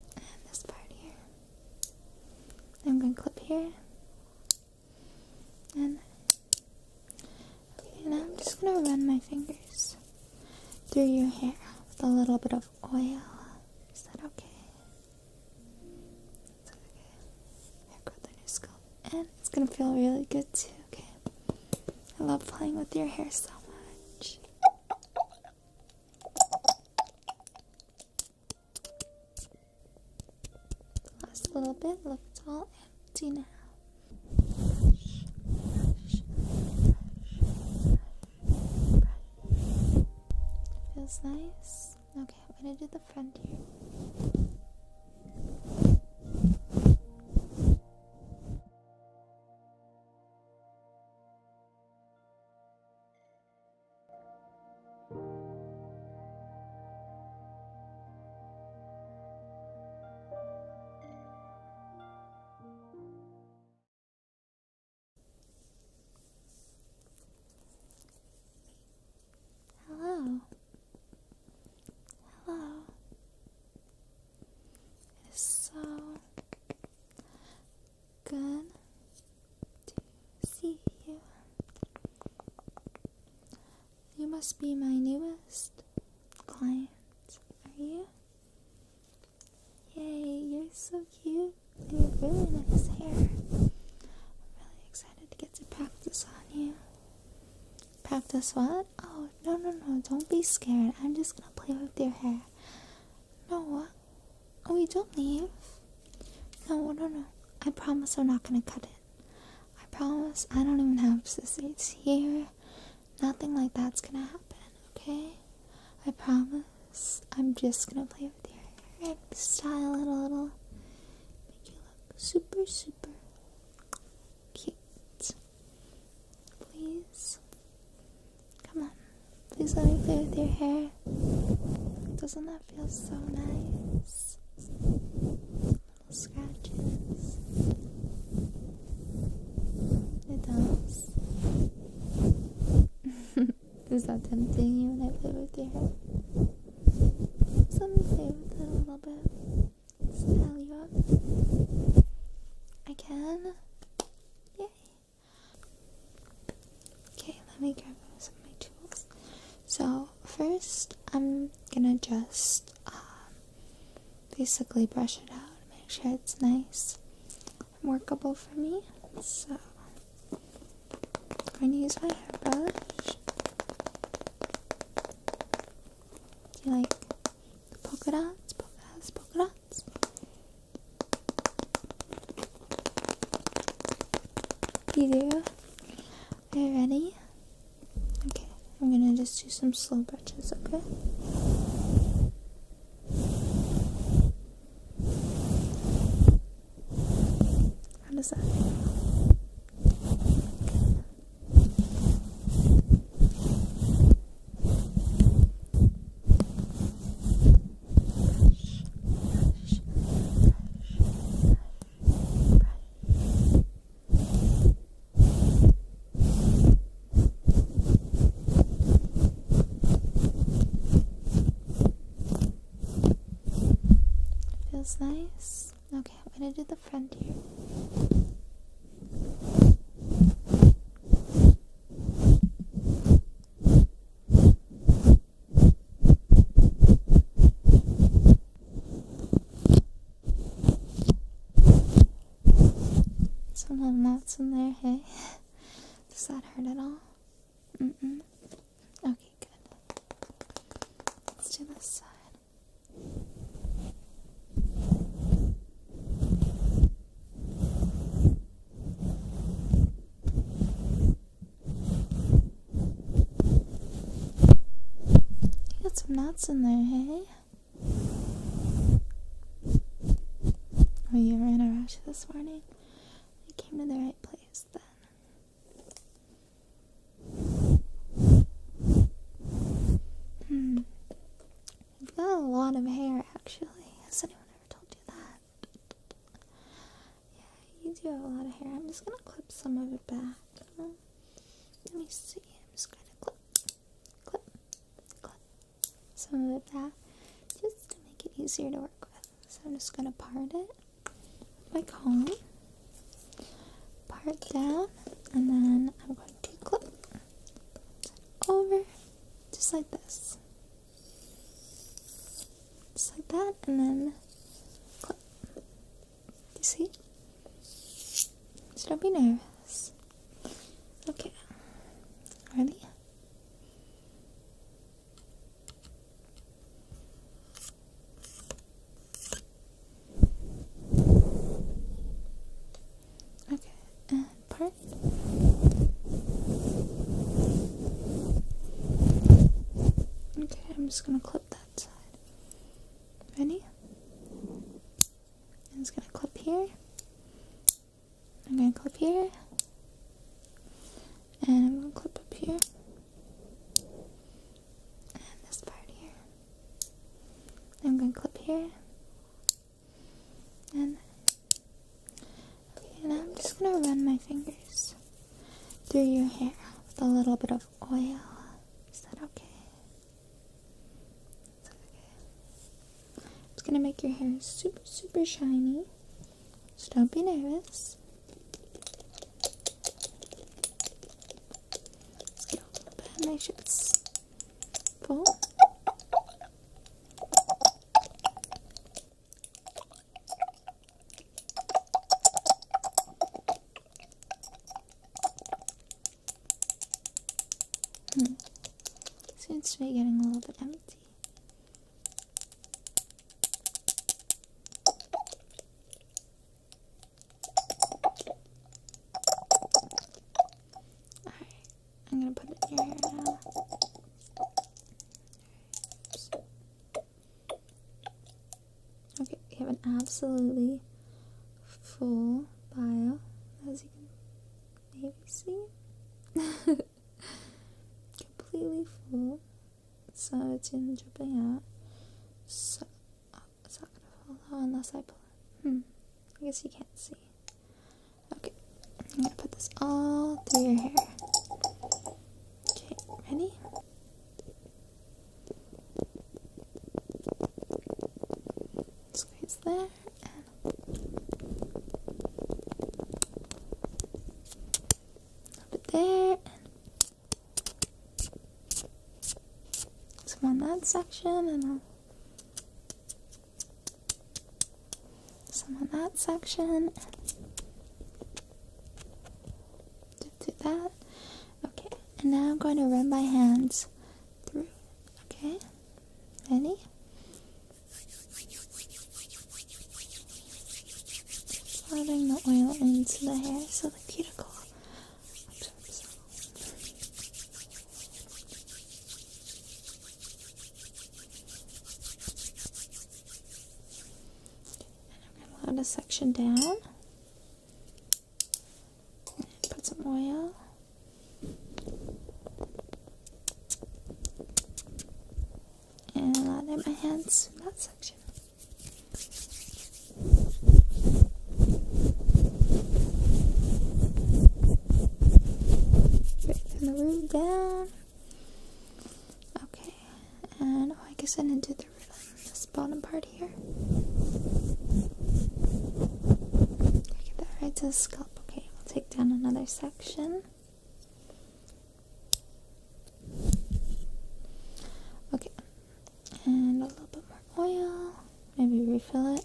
and this part here. I'm going to clip here, and now I'm just going to run my fingers through your hair with a little bit of oil. Is that okay? It's okay. Hair growth on your scalp, and it's going to feel really good too. Okay. I love playing with your hair so much. Last little bit looks all empty now. Feels nice. Okay, I'm gonna do the front here. Hello. Hello. It is so Good to see you. You must be my newest client, are you? Yay, you're so cute. You have really nice hair. I'm really excited to get to practice on you. Practice what? Oh, no, no, no, don't be scared. I'm just gonna play with your hair. No, what? Oh, you don't leave? No, no, no. I promise I'm not gonna cut it. I promise I don't even have scissors here. Nothing like that's gonna happen, okay? I promise I'm just gonna play with your hair style it a little. Make you look super, super cute. Please. Come on, please let me play with your hair. Doesn't that feel so nice? Little scratches. It does. Is that tempting you when I play with your hair? let me play with it a little bit. Style you up. I can. Yay. Okay, let me grab some of my tools. So first, I'm gonna just um, basically brush it out, make sure it's nice workable for me. So I'm going to use my hairbrush. Do you like the polka dots, polka dots, polka dots? You do? Are you ready? Okay, I'm gonna just do some slow brushes, okay? How Feels nice. Okay, I'm gonna do the front here. Some little knots in there, hey? Does that hurt at all? Mm mm. Okay, good. Let's do this side. You got some nuts in there, hey? Oh, you were in a rush this morning? You came to the right place then. Hmm. You've got a lot of hair, actually. Has anyone ever told you that? that. Yeah, you do have a lot of hair. I'm just gonna clip some of it back. Um, let me see. I'm just gonna clip, clip, clip some of it back just to make it easier to work with. So I'm just gonna part it by comb, part down, and then I'm going to clip over just like this. Just like that, and then clip. You see? So don't be nervous. Okay. Ready? Okay, and part Okay, I'm just gonna clip that side. Ready? I'm just gonna clip here. I'm gonna clip here. And I'm gonna clip up here. And this part here. I'm gonna clip here. And Okay, now I'm just gonna run my fingers through your hair with a little bit of oil. Is that okay? It's okay. It's gonna make your hair super, super shiny. So don't be nervous. Let's get a little bit. Hmm. Seems to be getting a little bit empty. Alright, I'm gonna put it in now. Okay, we have an absolutely full bio, as you can maybe see. Completely full. So it's in dripping out. So oh, it's not gonna fall out oh, unless I pull it. Hmm. I guess you can't see. Okay. I'm gonna put this all through your hair. Okay, ready? Squeeze there and up it there and some on that section and I'll some on that section. Do that. Okay, and now I'm going to run my hands through. Okay, ready? Slathering the oil into the hair so the cuticle I'm going to load a section down. Put some oil. And lather my hands in that section. Break the root down. Okay, and oh, I guess I didn't do the bottom part here. get that right to the scalp. Okay, we'll take down another section. Okay, and a little bit more oil. Maybe refill it.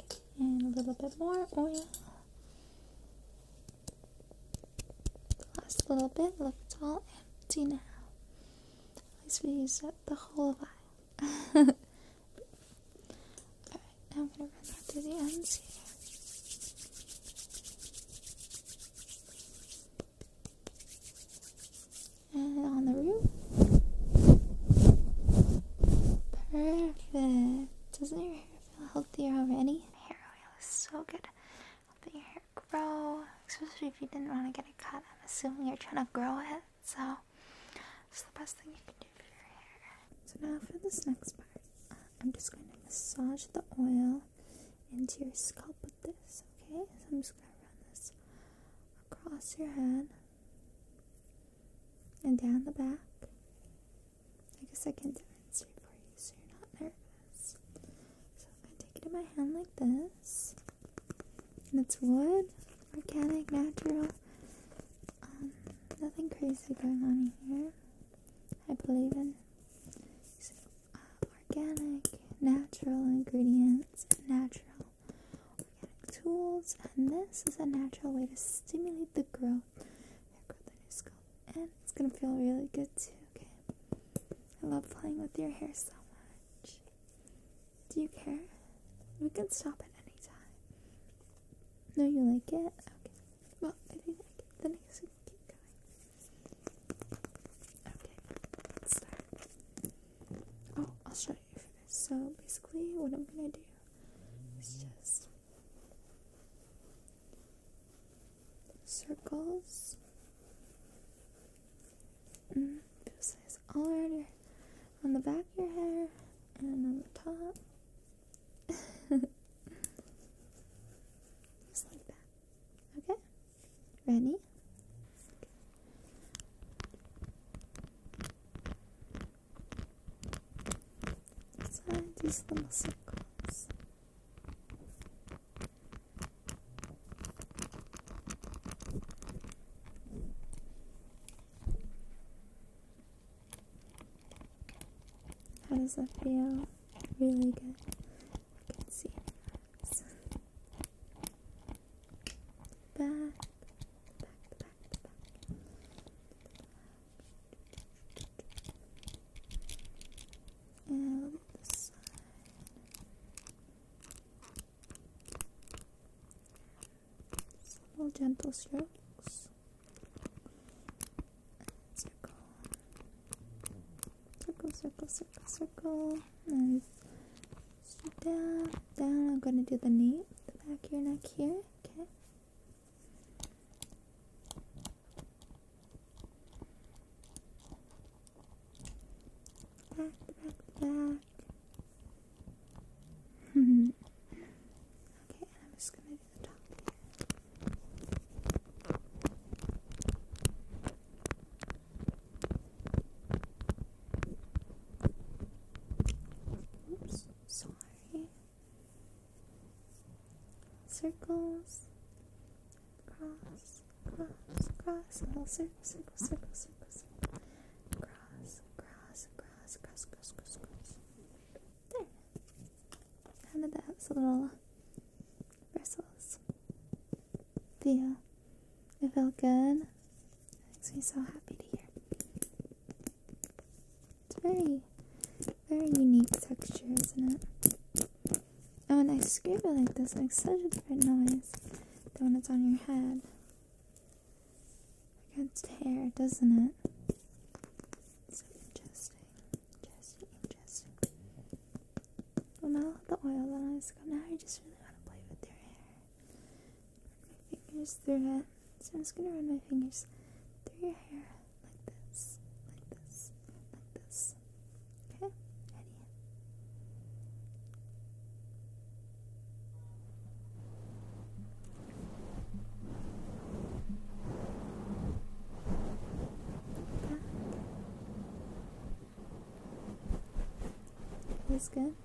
Okay, and a little bit more oil. last little bit, look, it's all empty now. At least we used up the whole vial. Alright, now I'm gonna run that through the ends here. And on the root, Perfect. Doesn't your hair feel healthier already? Hair oil is so good. Helping your hair grow. Especially if you didn't want to get it cut. I'm assuming you're trying to grow it. So it's the best thing you can do for your hair. So now for this next part. Uh, I'm just going to massage the oil into your scalp with this, okay? So I'm just going to run this across your head and down the back. I guess I can demonstrate for you so you're not nervous. So I'm going to take it in my hand like this. And it's wood, organic, natural. Um, nothing crazy going on here. I believe in uh, organic, natural ingredients, natural organic tools, and this is a natural way to stimulate the growth, hair growth in scalp, and it's gonna feel really good too. Okay, I love playing with your hair so much. Do you care? We can stop at any time. No, you like it? Okay. Well, I think like it. Then I guess we can keep going. Okay, let's start oh, I'll show you for this. So basically, what I'm gonna do is just circles. Mm, this is all right on the back of your hair and on the top. just like that. Okay? Ready? Inside these little circles. How does that feel? Really good. You can see back, back, back, back. And the side. Small gentle strokes. circle. Circle, circle, circle, circle. Nice down, down. I'm going to do the knee, the back of your neck here. Okay. Back, back, back. okay, and I'm just going to do the top here. Oops, sorry. Circles, cross, cross, cross, little circle, circle, circle, circle, Cross, cross, cross, cross, cross, cross, There. How did that? It's little bristles. But yeah, it felt good. It makes me so happy to hear. It's very, very unique texture, isn't it? Oh, and I scrape it like this makes such a different noise than when it's on your head. Against hair, doesn't it? So interesting, interesting, interesting. Well, now the oil on Now I just really want to play with your hair my fingers through it. So I'm just gonna run my fingers through your hair like this, like this, like this. Okay, that is Back. Feels good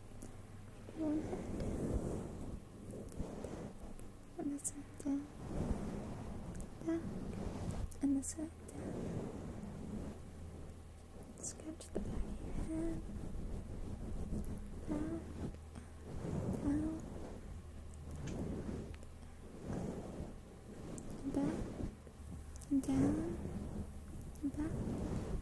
one hand down, and this hand down, down, and this hand down. Scratch the back of your head, down, down, and back, and down, and back.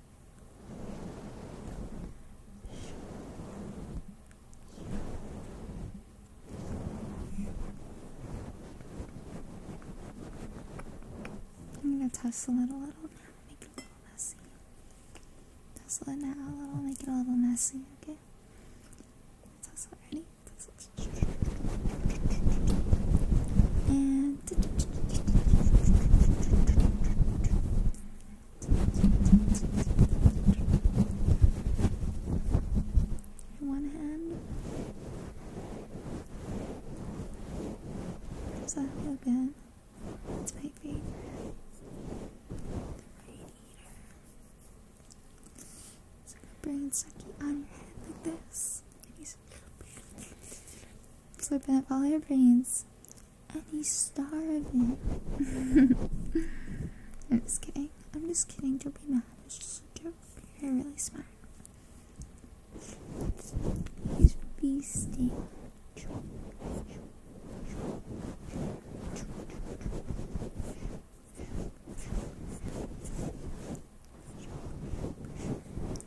I'm gonna tussle it a little make it a little messy. Tussle it now a little, make it a little messy, okay? ready? And in one hand. Does that feel good? It's my favorite. Brain eater. It's like a brain sucky on your head like this. Slip it all your brains and he's starving. I'm just kidding. I'm just kidding. Don't be mad. It's just a joke. you really smart. He's feasting.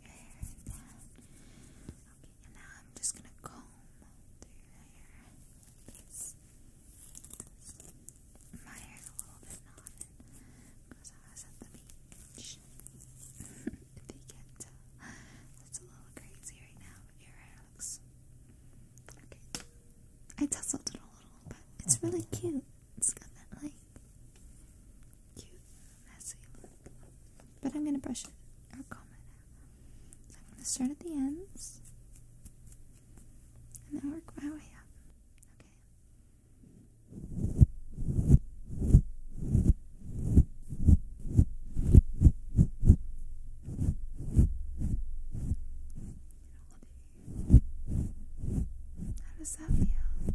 Okay, and now I'm just gonna comb through your hair My hair's a little bit non because I was at the beach. Uh, it's a little crazy right now, but your hair looks okay. I tousled it a little, but it's really uh-huh. cute. It's got like cute messy But I'm gonna brush it I'm gonna start at the ends and then work my way up. Okay. How does that feel?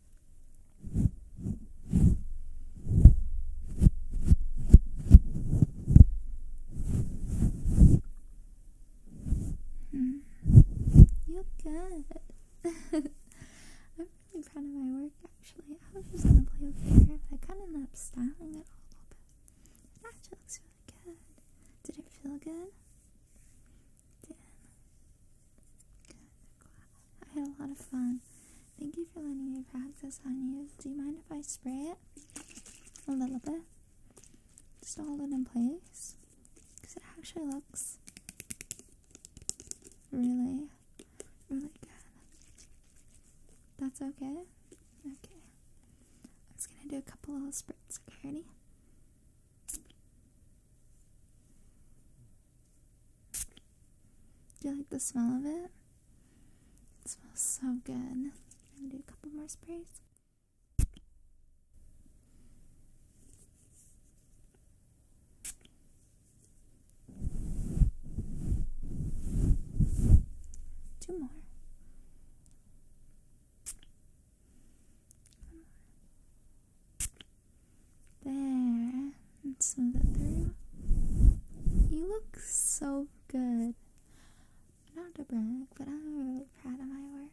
Hmm. You're good. I'm really proud of my work actually. I was just gonna play over hair, but I kinda ended up styling it a little bit. looks really good. Did it feel good? It did. I had a lot of fun. Thank you for letting me practice on you. Do you mind if I spray it? A little bit. Just hold it in place. Because it actually looks really, really good. That's okay? Okay. I'm just going to do a couple little spritz, okay? Ready? Do you like the smell of it? It smells so good. I'm gonna do a couple more sprays. Two more. There, and smooth it through. You look so good. Not to brag, but I'm really proud of my work.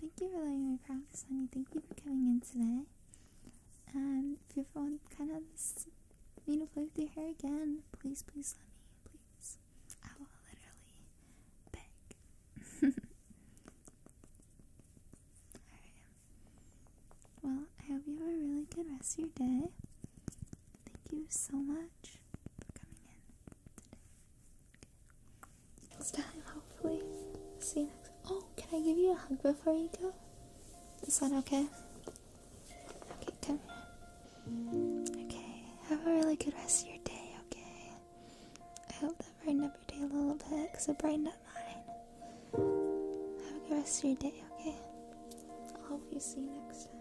Thank you for letting me practice on you. Thank you for coming in today. And um, if you ever want kind of me to play with your hair again, please, please let me. Please. I will literally beg. Well, I hope you have a really good rest of your day. Thank you so much for coming in Next time, hopefully. See you next Oh, can I give you a hug before you go? This one, okay? Okay, come here. Okay, have a really good rest of your day, okay? I hope that brightened up your day a little bit because it brightened up mine. Have a good rest of your day, okay? I'll you see you next time.